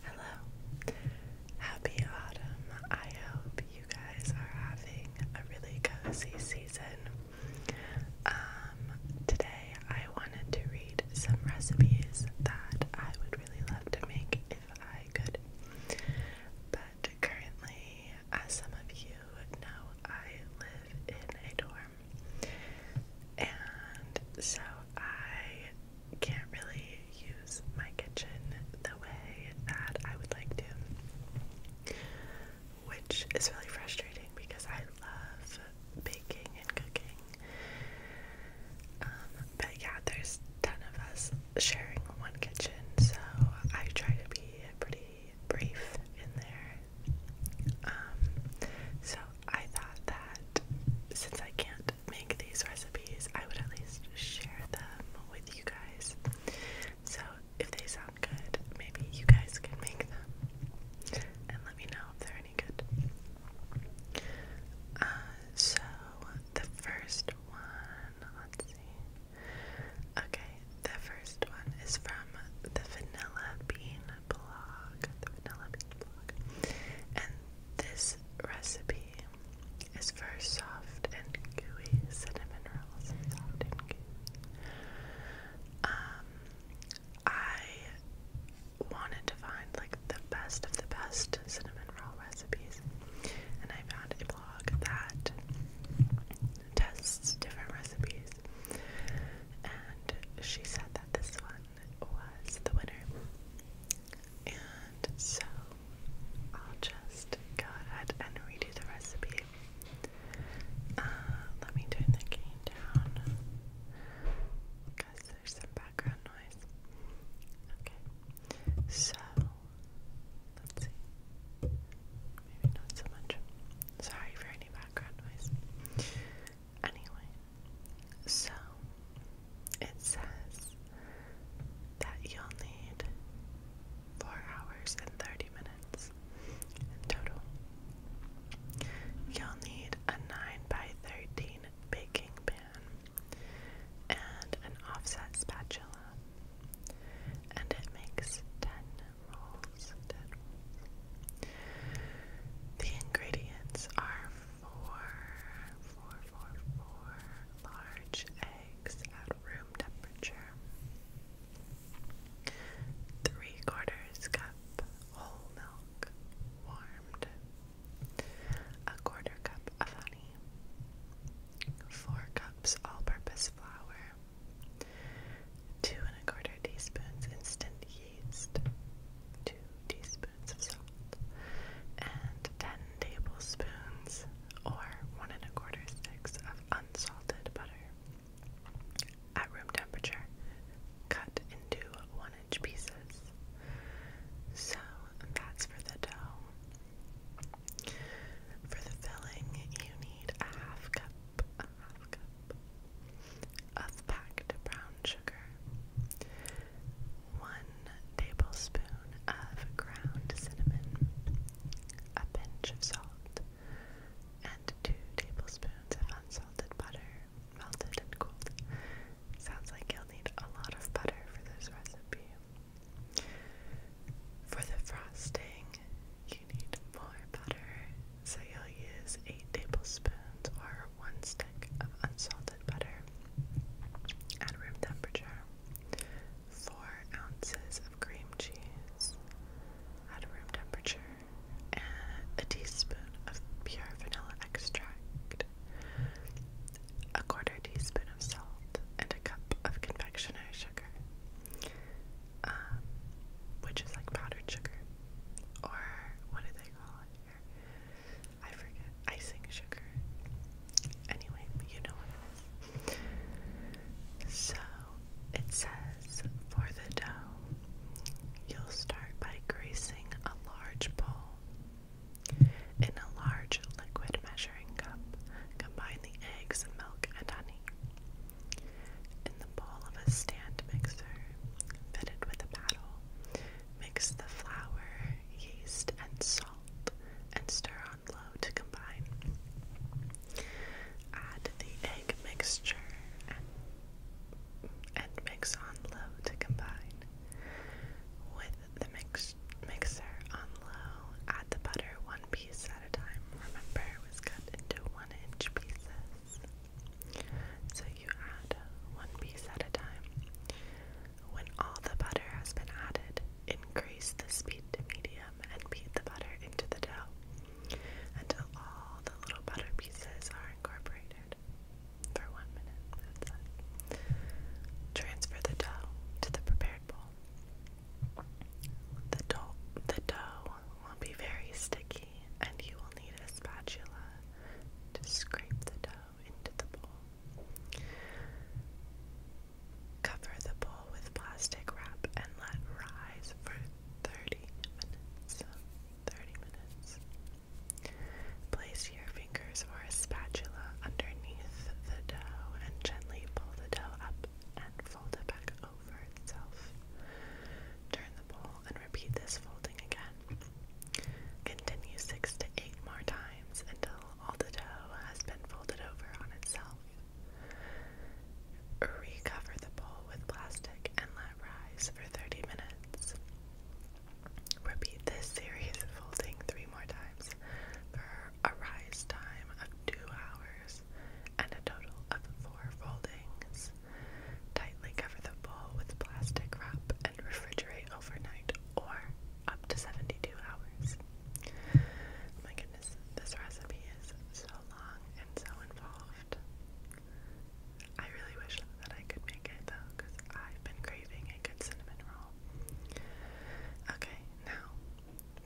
Hello. Happy autumn. I hope you guys are having a really cozy season. Um, today I wanted to read some recipes that I would really love to make if I could. But currently, as some of you know, I live in a dorm. And so I can't really use my kitchen the way that I would like to, which is really frustrating because I love baking and cooking. Um, but yeah, there's ten of us sharing one kitchen, so I try to be pretty brief in there. Um, so I thought that since I can't make these recipes, I would at least share them with you guys. So if they sound good, maybe you guys can make them and let me know if they're any good. Uh, so the first one, let's see. Okay, the first one is from the Vanilla Bean blog, the vanilla bean blog. And this recipe is for soft and gooey cinnamon rolls. Soft and gooey. Um, I wanted to find like the best of the best cinnamon roll recipes, and I found a blog that tests different recipes. And she said that this one was the winner. And so I'll just go ahead and redo the recipe. Uh, let me turn the cane down because there's some background noise. Okay, so let's see. Maybe not so much. Sorry for any background noise. Anyway, so it says that you'll need four hours and 30 minutes in total. You'll need a 9 by 13 baking pan and an offset spatula. And it makes 10 rolls, The ingredients are four, four, four, four large eggs at room temperature. Three quarters cup whole milk, warmed. A quarter cup of honey. Four cups all purpose flour. Two and a quarter teaspoons instant 2 teaspoons of salt, and 10 tablespoons or 1 and a quarter sticks of unsalted butter. At room temperature, cut into 1 inch pieces. So that's for the dough. For the filling, you need a half cup half cup of packed brown sugar, one tablespoon of ground cinnamon, a pinch of salt, and two tablespoons of unsalted butter, melted and cooled. Sounds like you'll need a lot of butter for this recipe. For the frosting, you need more butter so you'll use 8 tablespoons or 1 stick of unsalted butter at room temperature, 4 ounces of cream cheese at room temperature, and a teaspoon of pure vanilla extract, a quarter teaspoon of salt, and a cup of confectionery sugar. Um, which is like powdered sugar, or what do they I forget icing sugar. Anyway, you know what So it says for the dough, you'll start by greasing a large bowl. In a large liquid measuring cup, combine the eggs, milk, and honey bowl of a stand mixer fitted with a paddle. Mix the flour, yeast, and salt and stir on low to combine. Add the egg mixture and, and mix on low to combine. With the mix, mixer on low, add the butter one piece at a time. Remember, it was cut into one inch pieces. So you add one piece at a time. When all the butter has been added, increase the speed to medium and beat the butter into the dough until all the little butter pieces are incorporated. For one minute, Transfer the dough to the prepared bowl. the dough will be very sticky and you will need a spatula to scrape the dough into the bowl. Cover the bowl with plastic wrap and let rise for 30 minutes. 30 minutes. Place your fingers or a spatula underneath the dough and gently pull the dough up and fold it back over itself. Turn the bowl and repeat this folding again. Continue six to eight more times until all the dough has been folded over on itself. Recover the bowl with plastic and let rise for 30 minutes. Repeat this series of folding three more times for a rise time of two hours and a total of four foldings. Tightly cover the bowl with plastic wrap and refrigerate overnight or up to 72 hours. My goodness, this recipe is so long and so involved. I really wish that I could make it though, because I've been craving a good cinnamon roll. Okay, now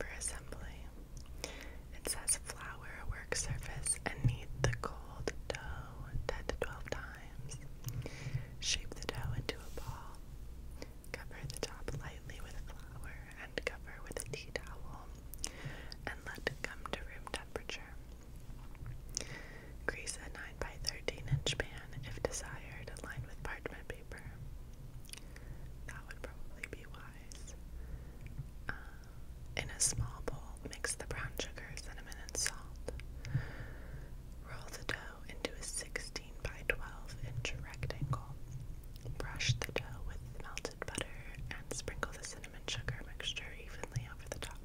for assembly, it says flour, work surface, and knead the cold dough 10 to 12 times. Shape the dough into a ball. Cover the top lightly with flour and cover with a tea towel and let it come to room temperature. Grease a 9 by 13 inch pan if desired, lined with parchment paper. That would probably be wise. Um, in a small bowl, mix the brown sugar, cinnamon, and salt. Roll the dough into a 16 by 12 inch rectangle. Brush the dough with melted butter and sprinkle the cinnamon sugar mixture evenly over the top,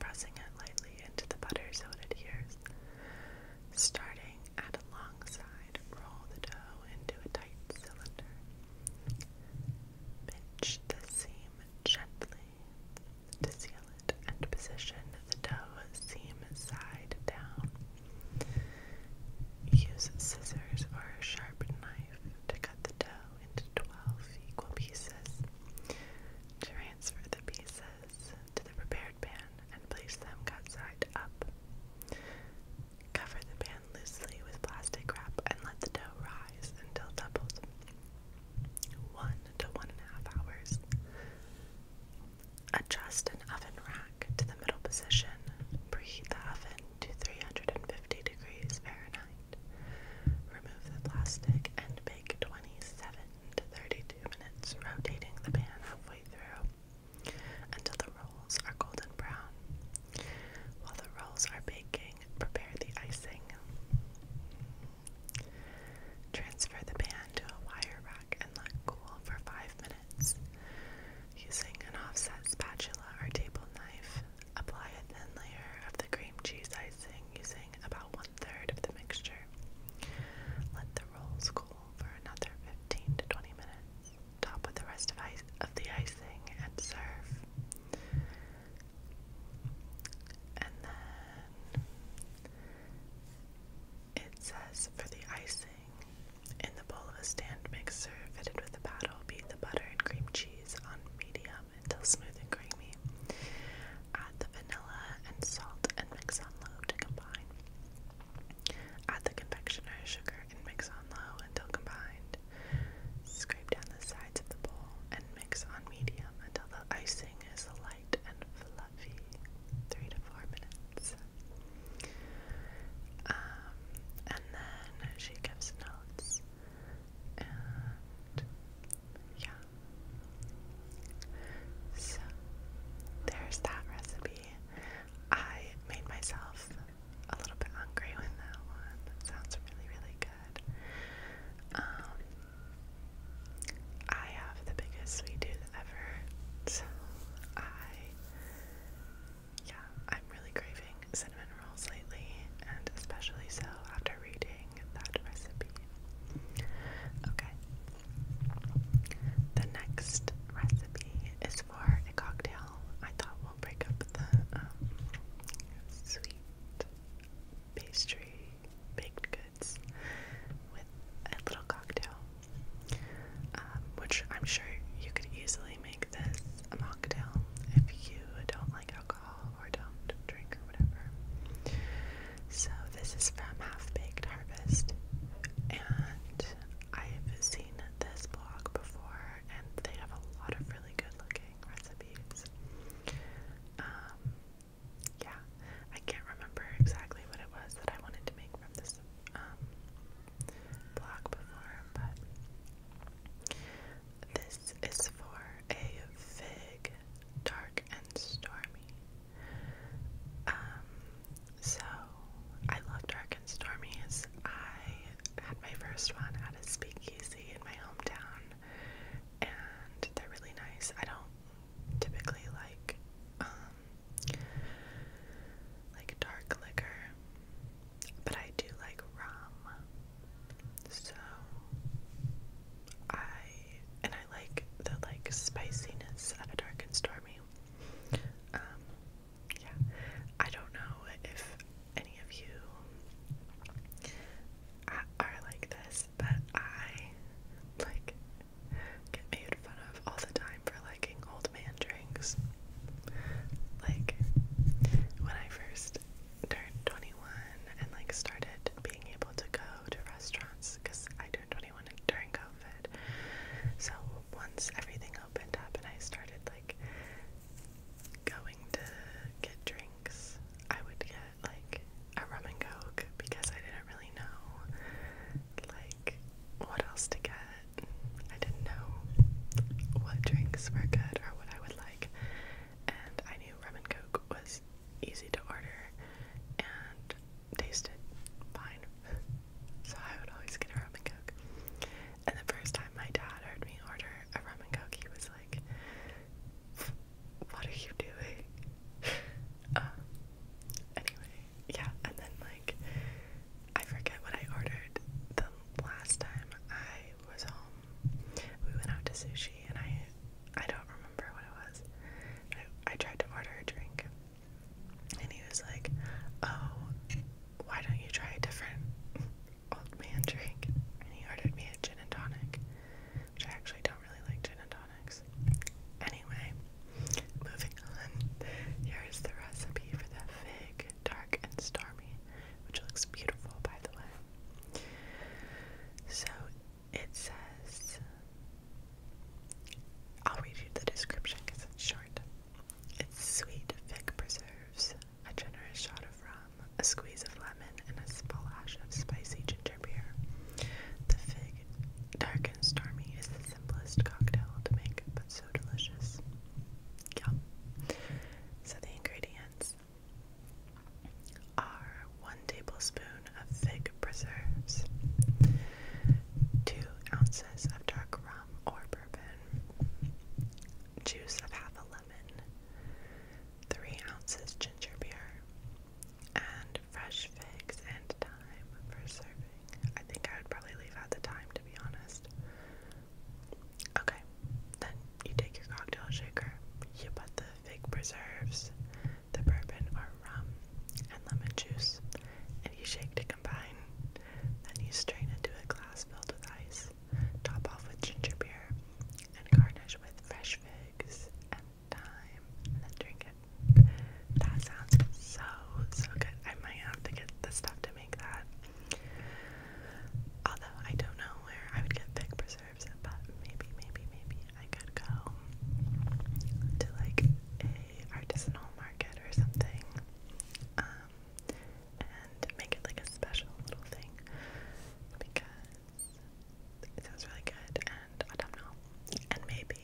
pressing it lightly into the butter so it adheres. Starting at a long side, roll the dough into a tight cylinder. Pinch the seam gently to seal it and position the dough seam side down. Use scissors or a sharp knife to cut the dough into 12 equal pieces. Transfer the pieces to the prepared pan and place them cut side up. Cover the pan loosely with plastic wrap and let the dough rise until doubled. One to one and a half hours. Adjust an oven rack to the middle position. Preheat the oven to 350 degrees Fahrenheit. Remove the plastic and bake 27 to 32 minutes, rotating the pan halfway through until the rolls are golden brown. While the rolls are baking, prepare the icing. Transfer the pan to a wire rack and let cool for 5 minutes. Using an offset spatula or table knife, apply a thin layer of the cream cheese icing using about one third of the mixture. Let the rolls cool for another 15 to 20 minutes top with the rest of, the icing and serve. And then it says for the icing, in the bowl of a stand mixer fitted with a paddle, beat the butter and cream cheese on medium until smooth and creamy. Add the vanilla and salt and mix on low to combine. Add the confectioner's sugar and mix on low until combined. Scrape down the sides of the bowl and mix on medium until the icing is light and fluffy. Three to four minutes. Um, and then she gives notes. And yeah. So there's that recipe. I made myself a little bit hungry with that one. sounds really, really good. Um, I have the biggest sweet tooth ever, so I, yeah, I'm really craving cinnamon rolls lately, and especially so after reading that recipe. Okay. The next recipe is for a cocktail I thought break up the um, sweet pastry, baked goods with a little cocktail, um, which I'm sure you could easily make this a mocktail if you don't like alcohol or don't drink or whatever. So this is from Half Baked Harvest, and I've seen this blog before and they have a lot of really good looking recipes. Um, yeah, I can't remember exactly what it was that I wanted to make from this um, blog before, but this is for a fig dark and stormy. Um, so I love Dark and Stormies. I had my first one at a speakeasy in my hometown, and they're really nice. I don't typically like um like dark liquor, but I do like rum. So I and I like the like spiciness of a dark and stormy. Um, yeah, I don't know if any of you are like this, but I like get made fun of all the time for liking old man drinks. Like when I first turned 21 and like started being able to go to restaurants because I turned 21 during COVID. So once everything opened up and I started like going to get drinks, I would get like a rum and coke because I didn't really know like what else to get. I didn't know what drinks were good or what I would like, and I knew rum and coke was easy to order and tasted fine. So I would always get a rum and coke. And the first time my dad heard me order a rum and coke, he was like, What are you doing? um, anyway, yeah, and then like, I forget what I ordered the last time I was home. We went out to sushi and I. I don't remember what it was. I, I tried to order a drink and he was like, Oh, why don't you try a different old man drink? And he ordered me a gin and tonic, which I actually don't really like gin and tonics. Anyway, moving on, here is the recipe for the fig, dark and stormy, which looks beautiful, by the way. So it says, I'll read you the description because it's short. Its sweet, fig preserves, a generous shot of rum, a squeeze of lemon, and a splash of spicy ginger beer. The fig, dark and stormy, is the simplest cocktail to make, but so delicious. Yum. So the ingredients are one tablespoon of fig preserves, two ounces of dark rum or bourbon, juice of half a lemon, three ounces ginger beer, and fresh figs and thyme for serving. I think I would probably leave out the thyme to be honest. Okay, then you take your cocktail shaker, you put the fig preserves, the bourbon or rum, and lemon juice, and you shake to combine. Then you strain into a glass filled with ice, top off with ginger beer, and garnish with fresh figs and thyme, then drink it. That sounds so, so good. I might have to get the stuff to make that. Although I don't know where I would get fig preserves, but maybe, maybe, maybe I could go to like a artisanal market or something, um, and make it like a special little thing because it sounds really good, and I don't know. And maybe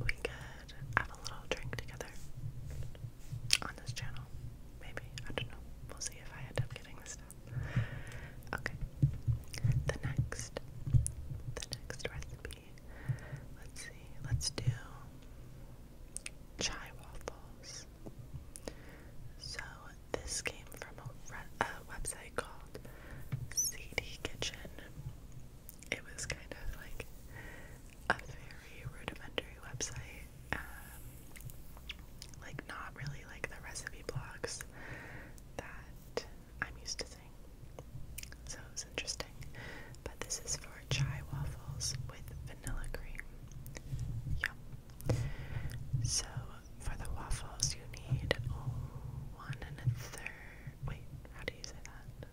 we could have a little drink together on this channel. Maybe I don't know. We'll see if I end up getting this stuff. Okay. The next, the next recipe see. Let's see. Let's do chai waffles. So this came from a, a website called CD Kitchen. It was kind of like a very rudimentary website, um, like not really like the recipe blogs that I'm used to so it was interesting. But this is for chai waffles with vanilla cream. Yum. So for the waffles, you need one and a third. Wait, how do you say that?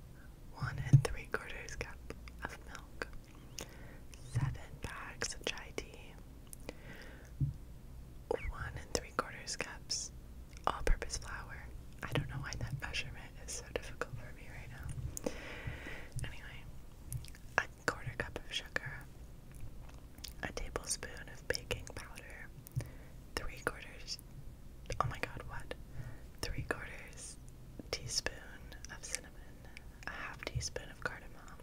One and three quarters cup of milk, seven bags of chai tea, one and three quarters cups all purpose flour. I don't know why that measurement is so difficult for me right now. Anyway, a quarter cup of sugar, a tablespoon of baking powder, three quarters, oh my god, what? Three quarters teaspoon of cinnamon, a half teaspoon of cardamom,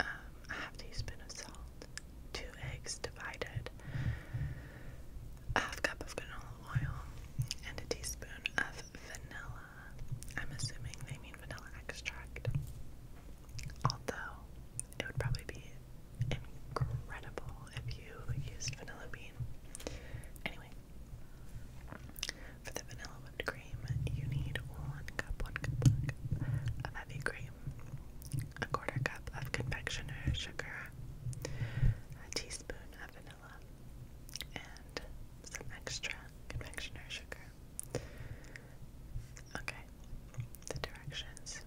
um, a half teaspoon of salt, two eggs divided, a half cup of canola oil, and a teaspoon of vanilla. I'm assuming they mean vanilla extract. Although, it would probably be incredible if you used vanilla bean. Anyway, for the vanilla whipped cream, you need one cup, one cup of heavy cream, a quarter cup of confectioner sugar, a teaspoon teaspoon vanilla and some extra confectioner sugar. Okay, the directions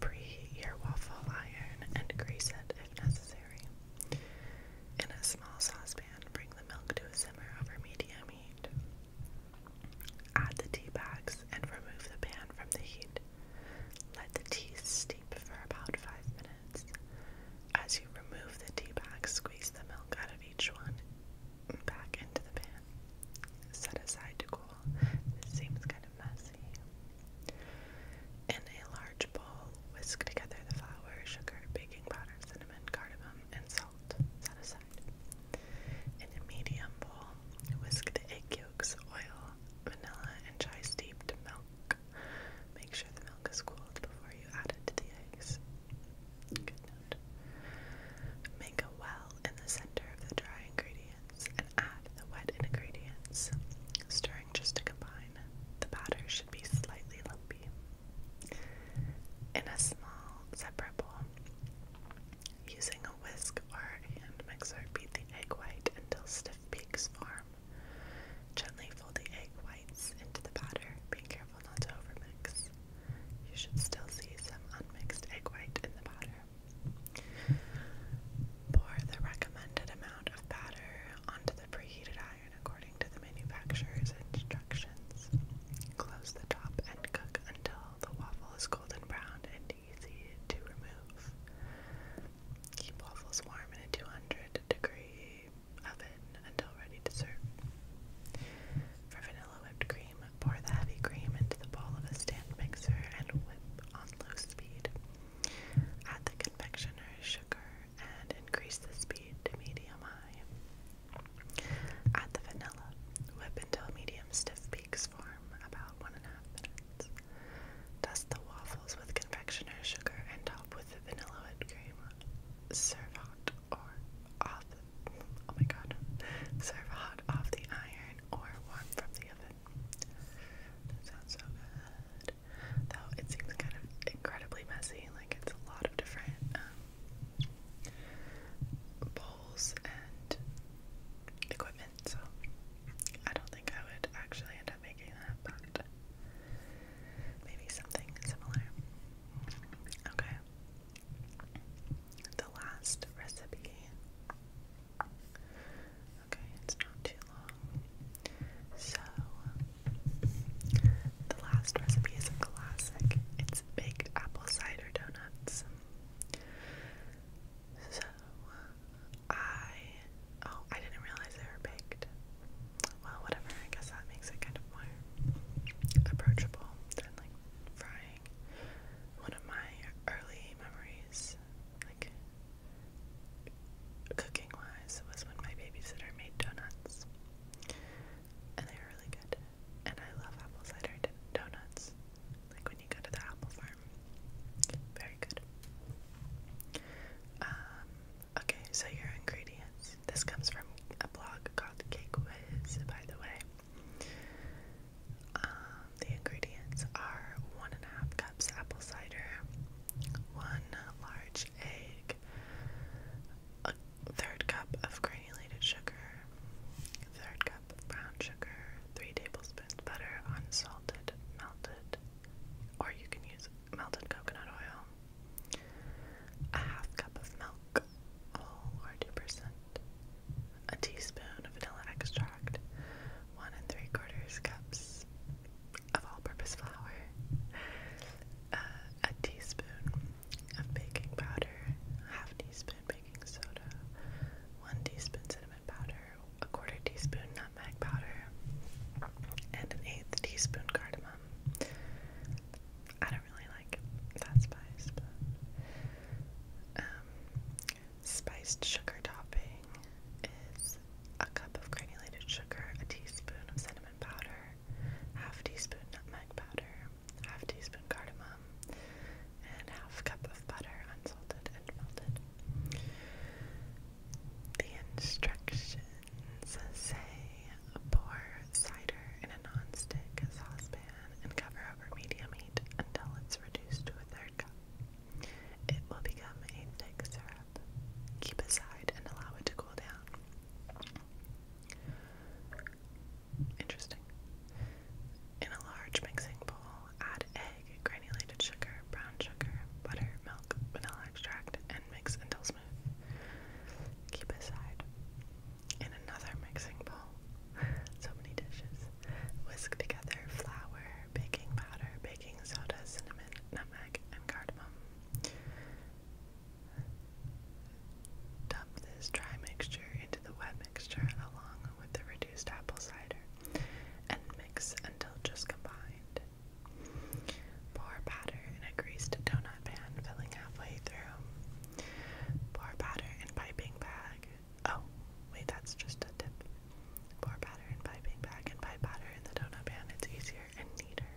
preheat your waffle iron and grease it if necessary. In a small saucepan, bring the milk to a simmer over medium heat. Add the tea bags and remove the pan from the heat. Let the tea steep for about 5 minutes. As you remove the tea bags, squeeze the milk out of each one back into the pan. Set aside to cool. This seems kind of messy. In a large bowl, whisk together the flour, sugar, baking powder, cinnamon, cardamom, and salt. Set aside. In a medium bowl, whisk the egg yolks, oil, vanilla, and chai steeped milk Make sure the milk is cooled before you add it to the eggs. Good note. Make a well in the center of the dry ingredients and add the wet ingredients, stirring just to combine. The batter should be slightly lumpy. In a small, separate bowl, using a whisk or hand mixer, beat the egg white until stiff of Peek's Gently fold the egg whites into the batter, being careful not to overmix. You should still see some unmixed egg white in the batter. Pour the recommended amount of batter onto the preheated iron according to the manufacturer's instructions. Close the top and cook until the waffle is golden brown and Keep waffles warm in a 200 degree oven until ready to serve. For vanilla whipped cream, pour the heavy cream into the bowl of a stand mixer and whip on low speed. Add the confectioner's sugar and increase the speed to medium high. Add the vanilla. Whip until medium stiff peaks form about one and a half minutes. Dust the waffles with confectioner's sugar and top with vanilla whipped cream. Serve hot or off. Oh my god. Serve hot off the iron or warm from the oven. sounds so good. Though it seems kind of incredibly messy. Like it's a lot of different um, bowls and equipment so I don't think I would actually end up making that, but maybe something similar. Okay. The last recipe. Okay, it's not too long. So, the last recipe is a classic. It's baked apple cider donuts. So I oh I didn't realize they were baked. Well, whatever. I guess that makes it kind of more approachable than like frying. One of my early memories, like cooking wise, was when my babysitter made donuts, and they were really good. And I love apple cider donuts. Like when you go to the apple farm very good. Um, okay, so your ingredients. This comes from a blog called Cake Whiz, by the way. Um, the ingredients are one and a half cups apple cider, one large egg, a third cup of granulated sugar, a third cup brown sugar, 3 tablespoons butter, unsalted, melted, or you can use melted coconut oil, a half cup of milk, whole or 2%, a teaspoon of vanilla extract, 1 and 3 quarters cups of all-purpose flour, uh, a teaspoon of baking powder, half teaspoon baking soda, 1 teaspoon cinnamon powder, a quarter teaspoon nutmeg powder, and an eighth teaspoon cardamom. I don't really like that spice, but um, spiced sugar topping is a cup of granulated sugar, a teaspoon of cinnamon powder, half teaspoon nutmeg powder, half teaspoon cardamom, and half cup of butter unsalted and melted. The instructions say pour cider in a non-stick saucepan and cover over medium heat until it's reduced to a third cup. It will become a thick syrup. Keep aside and allow it to cool down. Interesting. In a large mixing bowl, add egg, granulated sugar, brown sugar, butter, milk, vanilla extract, and mix until smooth. Keep aside. In another mixing bowl, so many dishes, whisk together flour, baking powder, baking soda, cinnamon, nutmeg, and cardamom. Dump this dry mixture into the wet mixture along with the reduced apple cider and mix until just combined. Pour batter in a greased donut pan, filling halfway through. Pour batter in piping bag. Oh, wait, that's just a tip. Pour batter in piping bag and pipe batter in the donut pan. It's easier and neater.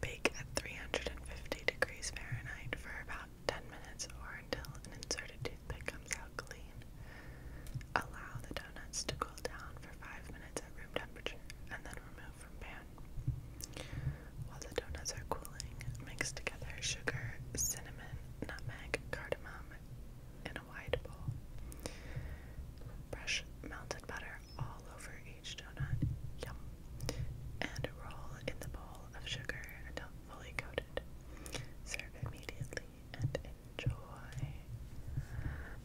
Bake at 350 degrees Fahrenheit for about 10 minutes or until an inserted toothpick comes out clean. Allow the donuts to cool down for 5 minutes at room temperature and then remove from pan. While the donuts are cooling, mix together sugar, cinnamon, nutmeg, cardamom in a wide bowl. Brush melted butter all over each donut. Yum. And roll in the bowl of sugar until fully coated. Serve immediately and enjoy.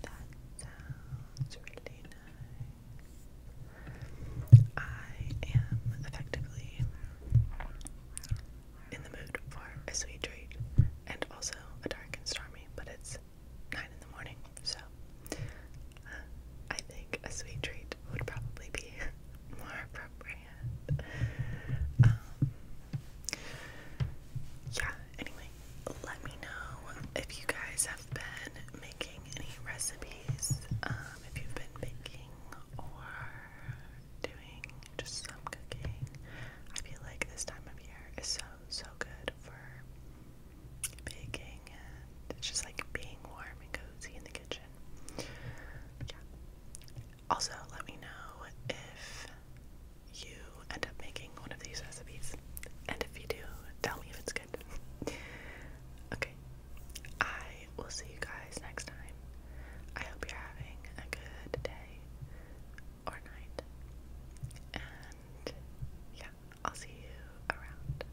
That sounds really nice. I am effectively in the mood for a sweet treat and also a dark and stormy, but it's 9 in the morning, so uh, I think a sweet treat would probably be more appropriate. Um, yeah, anyway, let me know if you guys have been making any recipes, um, if you've been baking or doing just some cooking. I feel like this time of year is so, so good for baking it's just like being warm and cozy in the kitchen. Also, let me know if you end up making one of these recipes. And if you do, tell me if it's good. okay. I will see you guys next time. I hope you're having a good day or night. And yeah, I'll see you around.